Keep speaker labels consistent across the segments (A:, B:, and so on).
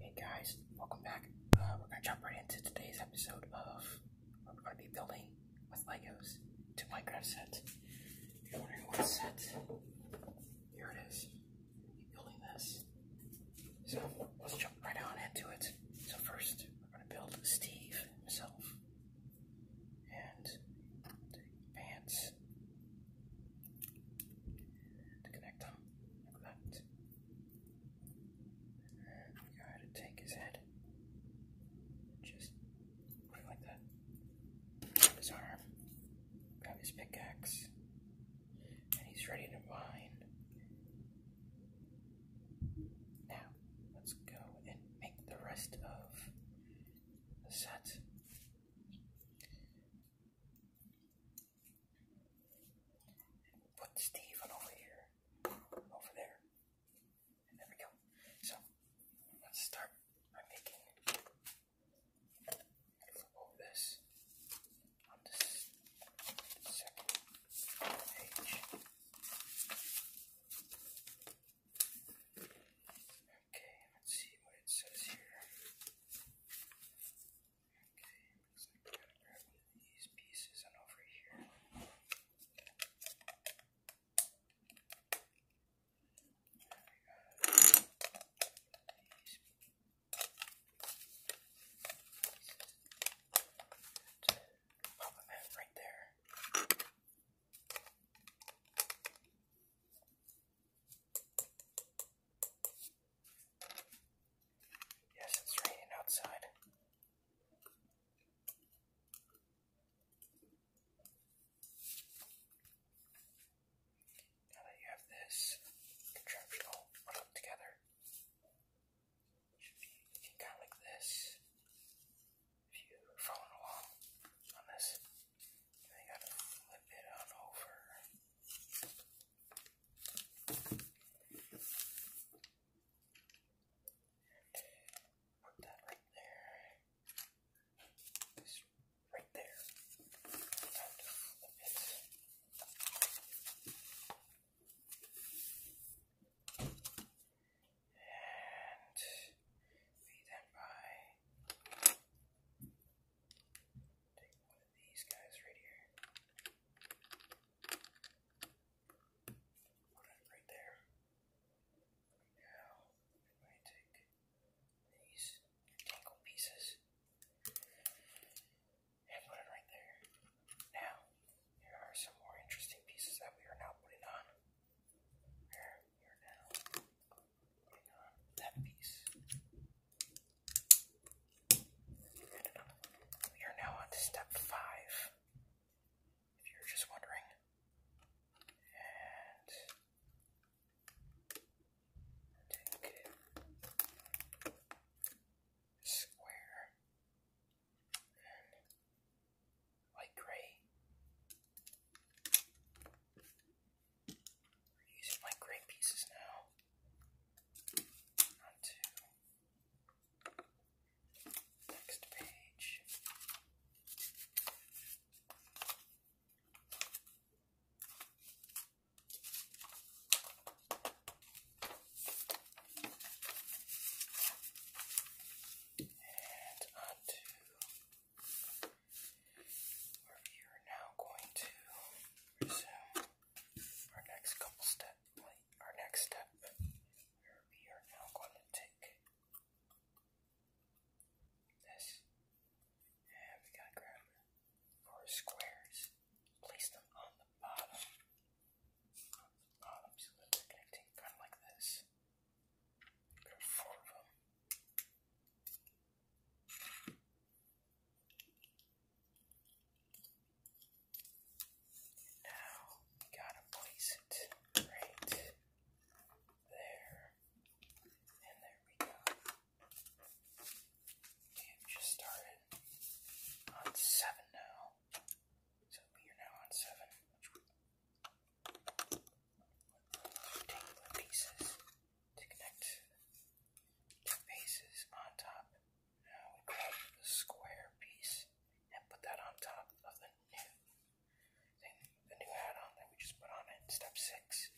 A: Hey guys, welcome back. Uh, we're gonna jump right into today's episode of where we're gonna be building with Legos two Minecraft sets. If you're wondering what set, here it is. We're building this. So let's jump right on into it. So first, we're gonna build Steve himself and pants to connect them like that. We gotta take his head and just like that. Grab his arm, grab his pickaxe, and he's ready to mine. Now, let's go and make the rest of the set. Put Steven over here, over there. there we go. So, let's start by making flip this on this second page. Okay, let's see what it says here. Okay, grab these pieces and over here. There we go. These pieces. Pop them right there. Yes, it's raining outside. Now that you have this contraption all put up together, should be kind of like this. If you're following along on this, you gotta flip it on over. Put that right there. This right there. And feed that by Take one of these guys right here. Put it right there. Now, I'm take these tangle pieces and put it right there. Now, here are some more interesting pieces that we are now putting on. Here, we now putting on that piece. We are now on to step five, if you're just wondering. And square and gray. We're using light gray pieces now onto next page. And onto where we are now going to resume our next couple step, our next step, where we are now going to take this, and we got grab four squares, place them on the bottom, on the bottom, connecting kind of like this. Grab four of them. Now we gotta place it right there. And there we go. We just started on seven now. So we are now on seven, take the pieces to connect the faces on top. Now we grab the square piece and put that on top of the new the new add-on that we just put on it. Step six,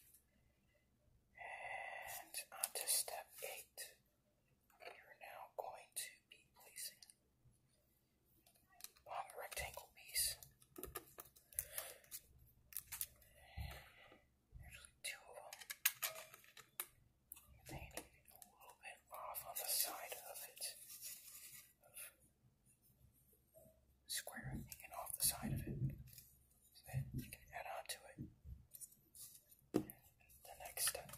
A: and on step eight. You're now going to be placing long rectangle piece. Actually, two of them. a little bit off on the side of it. square hanging off the side of it. So then you can add on to it. the next step.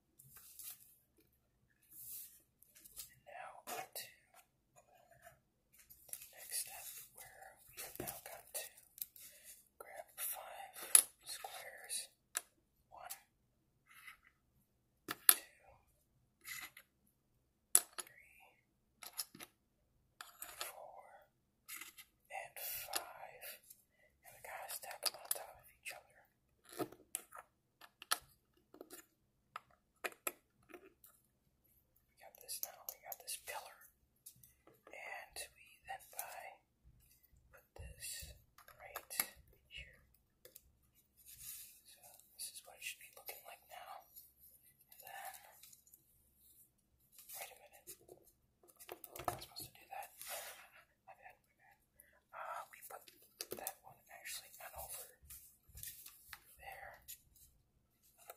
A: And now to the next step where we have now got to grab five squares. One, two, three, four, and five. And we gotta stack them on top of each other. We got this now, we got this pillar, and we then buy, put this right here. So this is what it should be looking like now. then, wait a minute, I'm supposed to do that. My bad, my bad. Uh, we put that one actually over there. I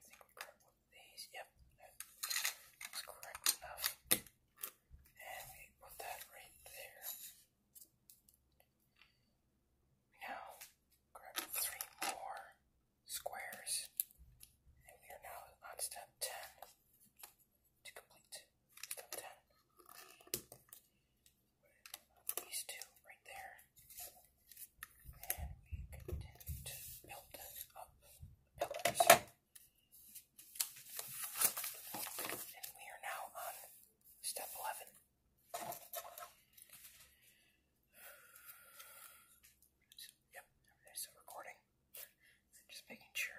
A: think we grab these. Yep, that's correct enough. And we put that right there. We now grab three more squares, and we are now on step 10 to complete the ten. these two right there. And we continue to build it up And we are now on step 11. yep, there's recording. Just making sure.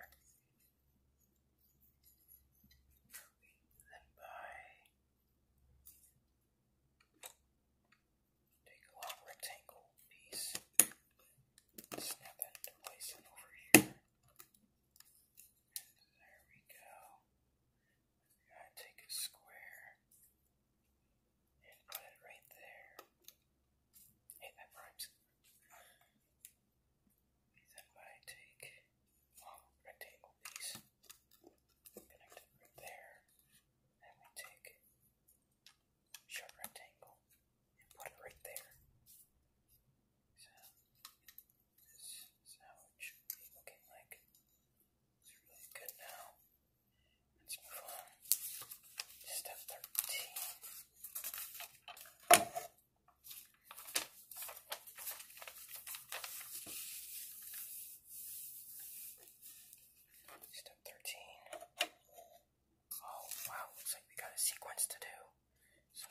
A: Then by take a long rectangle piece, snap that place and over here. there we go. take a square and put it right there. Hey, that rhymes. Then I take long rectangle piece, connect it right there, and we take short rectangle and put it right there. So this is looking like. It's really good now. Let's move on. Step 13. Step 13. Oh, wow, looks like we got a sequence to do. So,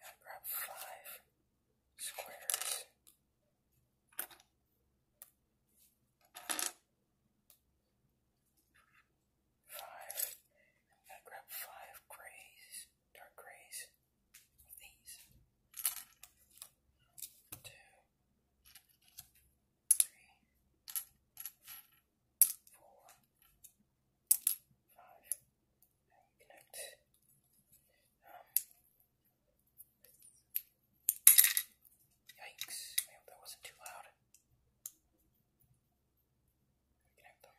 A: gotta grab five squares five. grab five grays, dark grays of these. Two, three, four, five. And connect. Yikes, I hope that wasn't too loud. Connect them.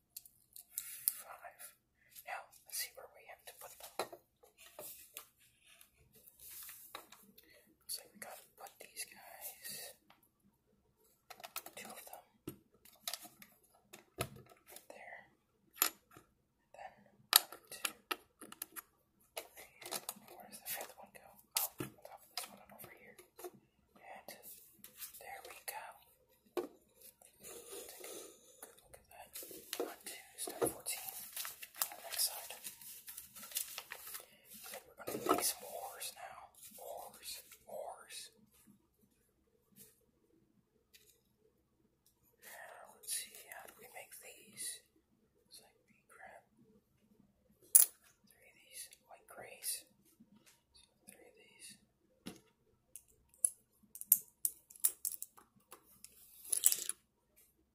A: five. Now, let's see where we have to put them. Looks we gotta put these guys, two of them, there. Then, two. where does the fifth one go? Oh, on top of this one, over here. And there we go look at that. One, two, step 14 next side. we're going to make some oars now. Oars, oars. Now, let's see, how do we make these? It's like we grab three of these, like grays. three of these.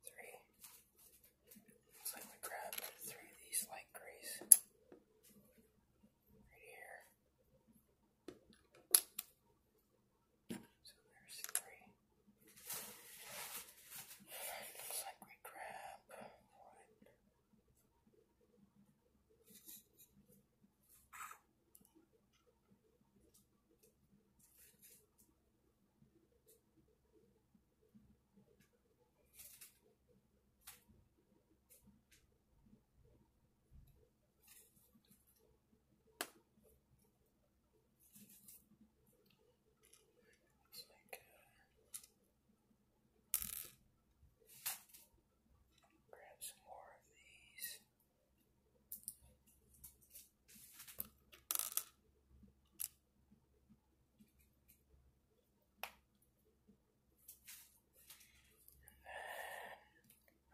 A: Three. Looks like we grabbed three of these light grays. Right here. So there's three. looks like we grab one. Grab some more of these.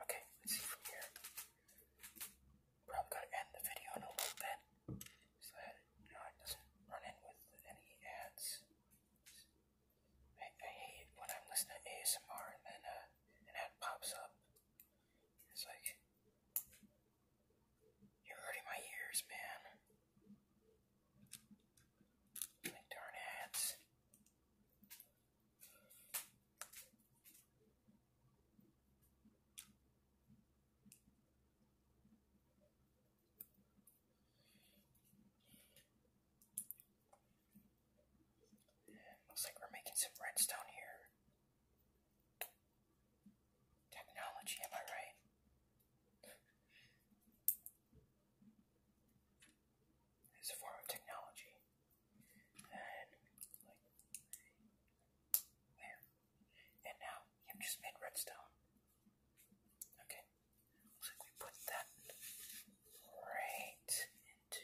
A: Okay, let's see from here. Probably gotta end the video in a little bit so I you know, not run in with any ads. I, I hate when I'm listening to ASMR and then uh, an ad pops up it's like, you're hurting my ears, man. darn it. Looks like we're making some redstone here. Technology, am I right? It's a form of technology. And, like, there. And now, you've just made redstone. Okay. Looks like we put that right into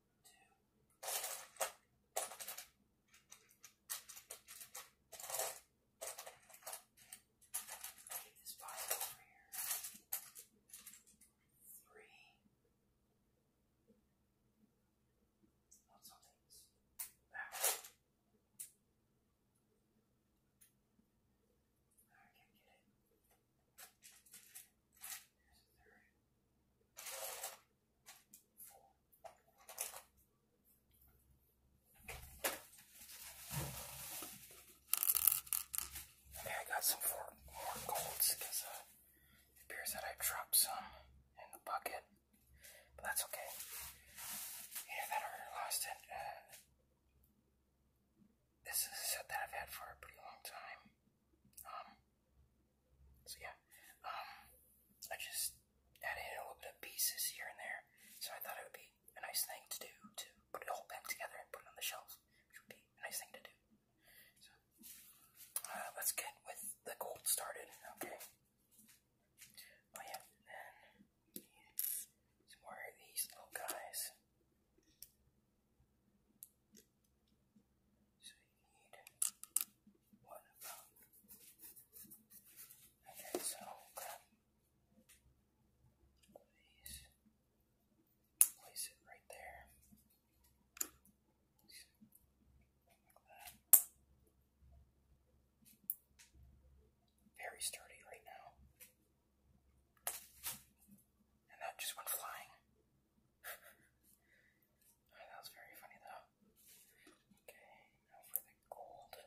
A: Get this five over here. Three. back. I can't get it. Here's a and I got some more golds because it appears that I dropped some in the bucket, but that's okay. Either that I lost it. Uh, this is a set that I've had for a pretty long time. Um, so yeah, um, I just added a little bit of pieces here and there, so I thought it would be a nice thing to do to put it all back together and put it on the shelf, which would be a nice thing to do. So uh, let's get with the gold started, okay? Oh yeah, then some more of these little guys need one pound. Okay, so place it right there. Very sturdy right now. And that just went flying. that was very funny though. Okay, now for the gold. Now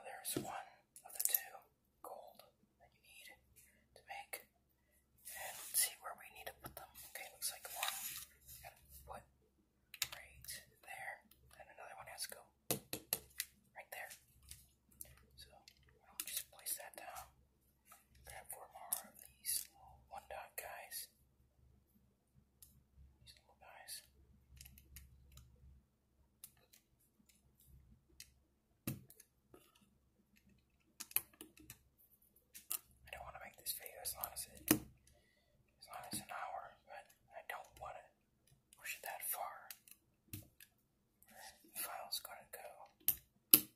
A: there's one of the two gold that you need to make. And see where we need to put them. Okay, looks like one. put right there, and another one has to go right there. So just place that down. Grab four more of these little one dot guys. These little guys. I don't want to make this video as long as it as long as an hour, but I don't want to push it that far. The file's gonna go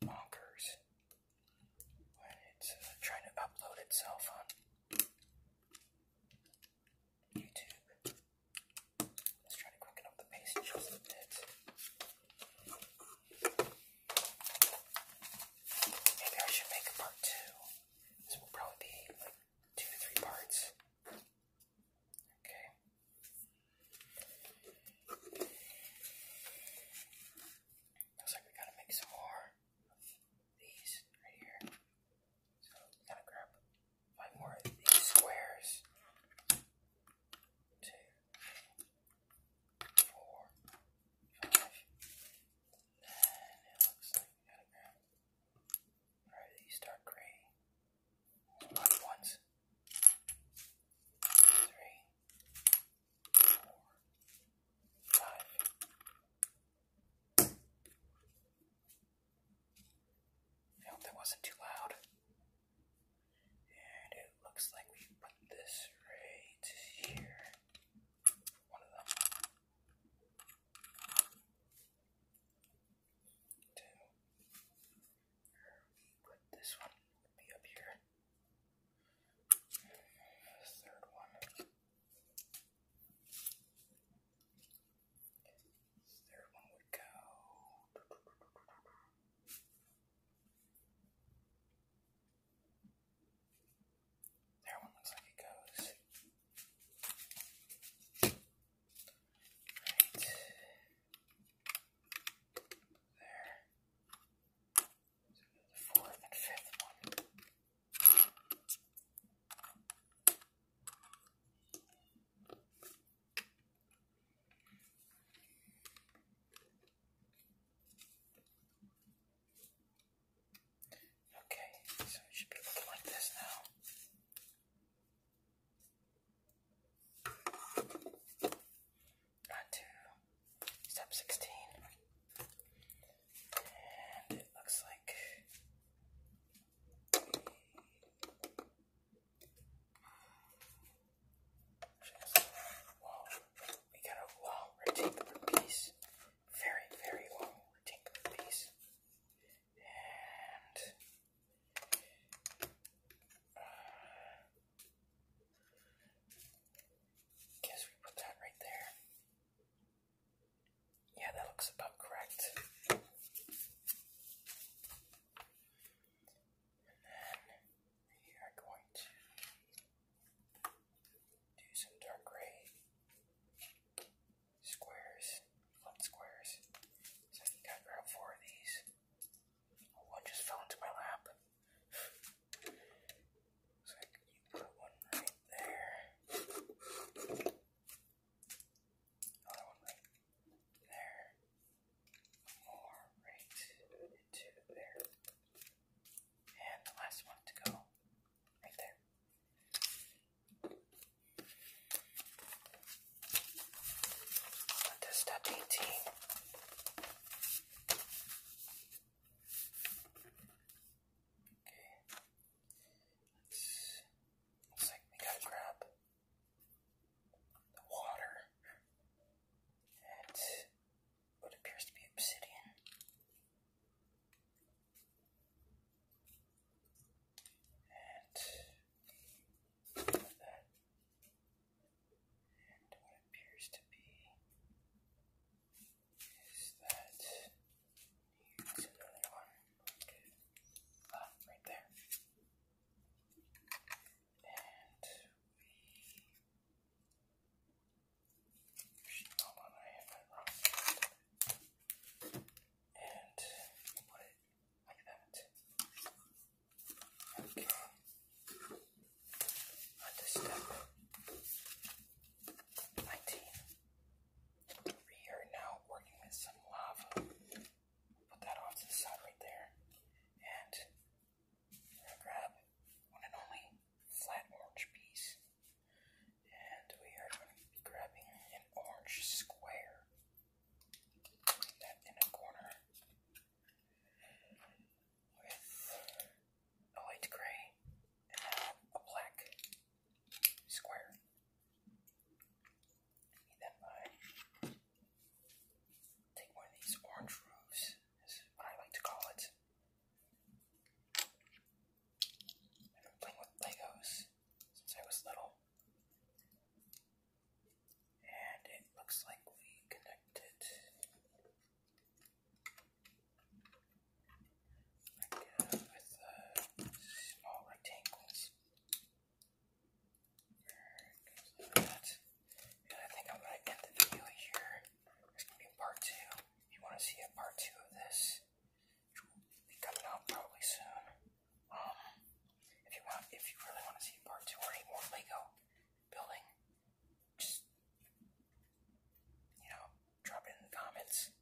A: bonkers when it's uh, trying to upload itself on YouTube. Let's try to quicken up the pace just a bit. Maybe I should make a part two. This will probably be like two to three parts. Okay. Looks like we gotta make some more of these right here. So gotta grab five more of these squares. Two, four, five, and it looks like we gotta grab probably these dark gray ones. Three, four, five. I hope that wasn't too loud. And it looks like we put this right here. One of them to put this one be up here. This third one. third one would go. There one looks like it goes. Right. There. So the fourth and fifth one. Okay, so it should be looking like this now. On to step 16. And it looks like We got a wall rotate the piece very, very long rectangular piece. Uh, guess we put that right there. Yeah, that looks about correct. And then we are going to do some dark gray squares, flipped squares. So I think I grabbed four of these. One just fell into my lap. So I put one right there. Another one right there. More right into there. And the last one to go right there. Put this to 18. Okay. Let's, looks like we gotta grab the water and what appears to be obsidian and that, and what appears to be is that here's another one. Okay. right there. And we. Actually, hold on, I have that wrong and put it like that. Okay. On 19. We are now working with some lava. Put that off to the side right there. And grab one and only flat orange piece. And we are going to be grabbing an orange square. Putting that in a corner with a light gray and a black square. Need that take one of these orange roofs, is I like to call it. I've been playing with Legos since I was little. And it looks like we connected. Like with uh, small rectangles. And I think I'm going to end the video here. There's going to be part two. If you want to see a part two of this, which coming out probably soon. Um, if you want, if you really want to see part two or any more Lego building, just you know, drop it in the comments.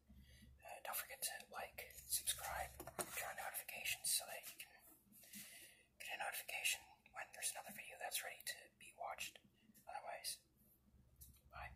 A: Uh, don't forget to like, subscribe, turn on notifications so that you can get a notification when there's another video that's ready to be watched. Otherwise, bye.